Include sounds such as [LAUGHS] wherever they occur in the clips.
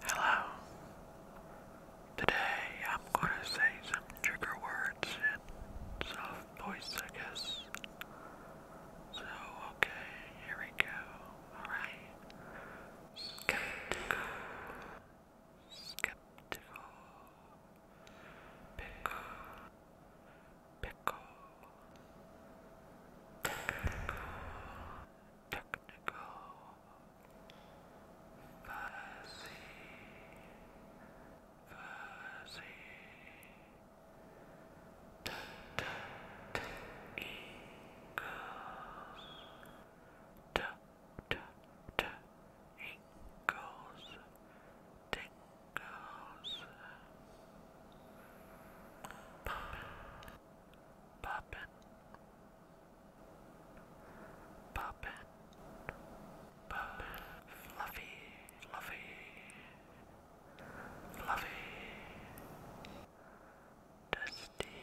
Hello. Today I'm going to say some trigger words in soft voice, I guess. So, okay, here we go. Alright. Skeptical. Skeptical. Pickle. Pickle technical fuzzy fuzzy t t t equals t t pop poppin', poppin', poppin', fluffy, fluffy, fluffy, dusty,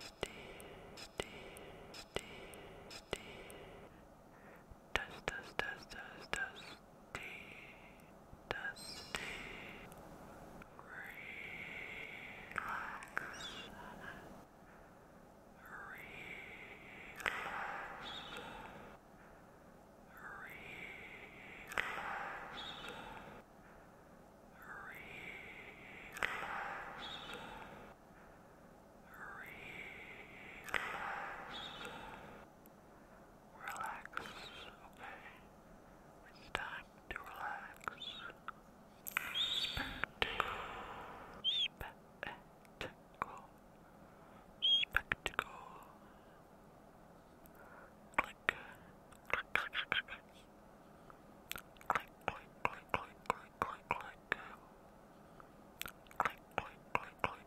dusty, dusty, dusty, dusty, dust, dust, dust, dust, dust dusty, relax, relax, relax. Relax. Relax. Relax, okay? Spectacle, spectacle, spectacle. click, click, click, click, click. Click, click, click, click, click, click.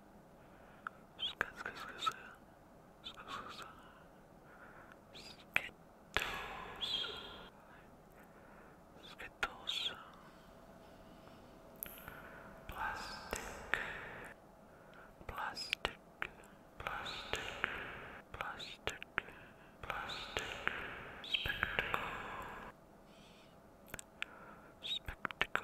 Skittles. Skittles. Plastic. Plastic. Plastic. Plastic. Plastic. Spectacle spectacle.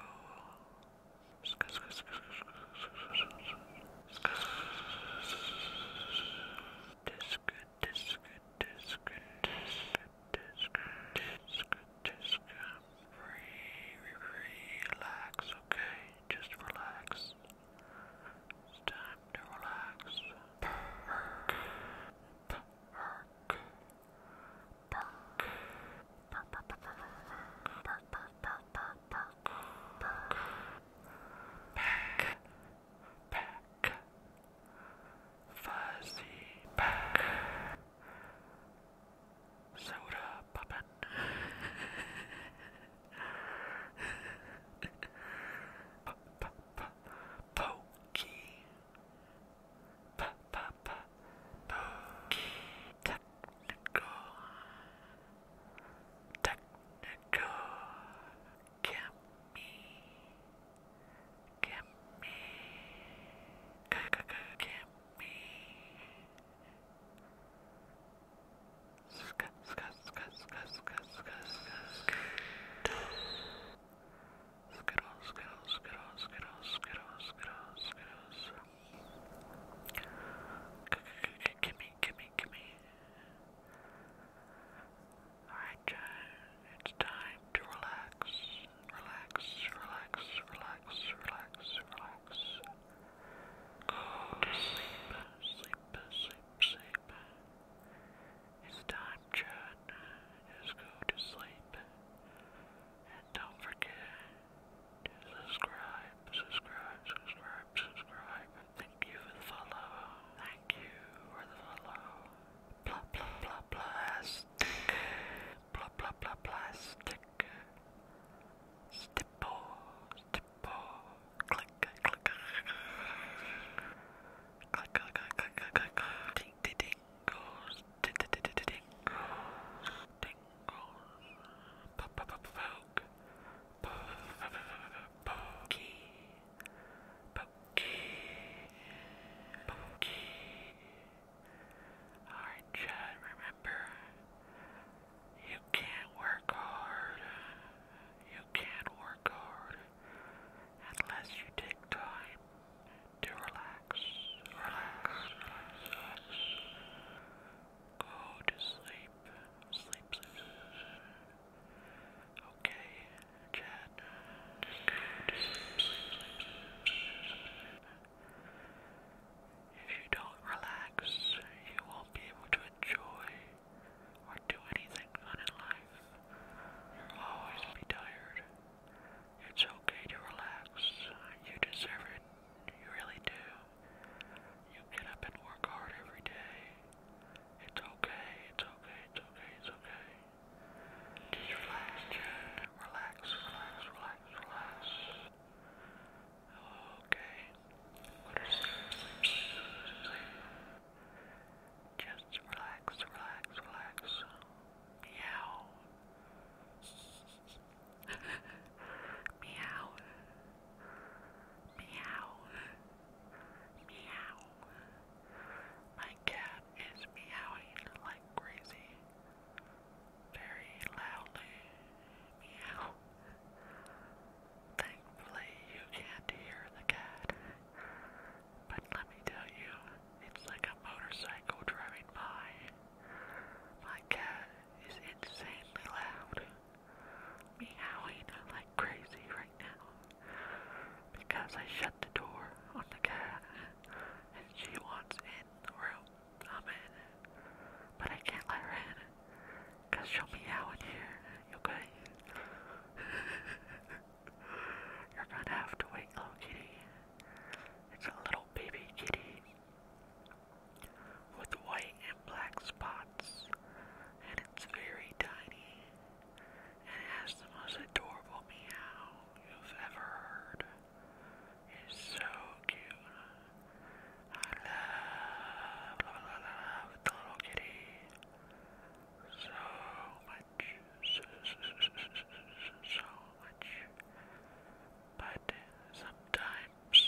Relax, okay? Just relax. It's time to relax. Perk. Perk back, fuzzy back, soda puppet. P -p -p pa pa pa technical technical gimme gimme me Sk, sk, sk, sk, sk, sk, sk, sk, sk, sk, sk, sk, sk, sk, sk, sk, sk, sk, sk, Skittles, Skittles, Skittles, Skittles, Skittles, Skittles, Skittles. Gimme, gimme, gimme. Alright, John, it's time to relax. Relax, relax, relax, relax, relax. Go to sleep, sleep, sleep, sleep. It's time, Chad. Just go to sleep. And don't forget to subscribe, subscribe, subscribe, subscribe. Thank you for the follow. Thank you for the follow. Blah, blah, blah, plastic. Blah, blah, blah, plastic. Stipple, Alright, Chad, remember you can't work hard. You can't work hard unless you take time to relax. Relax. relax. Go to sleep. Sleep, sleep. sleep. Okay, Chad. Go to sleep, sleep, sleep, sleep, sleep. If you don't relax, you won't be able to enjoy or do anything fun in life. You'll always be tired. It's okay to relax. You deserve it. You really do. You get up and work hard every day. It's okay, it's okay, it's okay, it's okay. Just relax, Jen. Relax, relax, relax, relax. Okay. Just relax, relax, relax. Meow. Meow. Meow. Meow. My cat is meowing like crazy very loudly meow. Thankfully, you can't hear the cat. But let me tell you, it's like a motorcycle driving by. My cat is insanely loud, meowing like crazy right now because I shut the door on the cat and she wants in the room. I'm in. But I can't let her in. Cause she'll meow in here, okay? [LAUGHS] You're gonna have to wait, little kitty. It's a little baby kitty with white and black spots, and it's very tiny, and it has the most adorable meow you've ever heard. It's so cute. I love, love, love, the little kitty so much, so, much. But sometimes,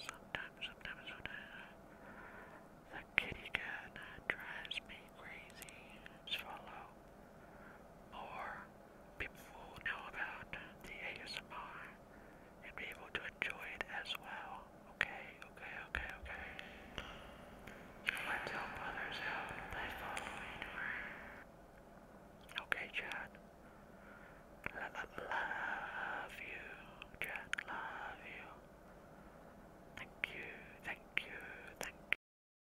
sometimes, sometimes, sometimes, the kitty cat drives me crazy. Swallow more people will know about the ASMR and be able to enjoy it as well. Okay, okay, okay, okay. Okay, Chad. L love you, Chad. Love you. Thank you, thank you, thank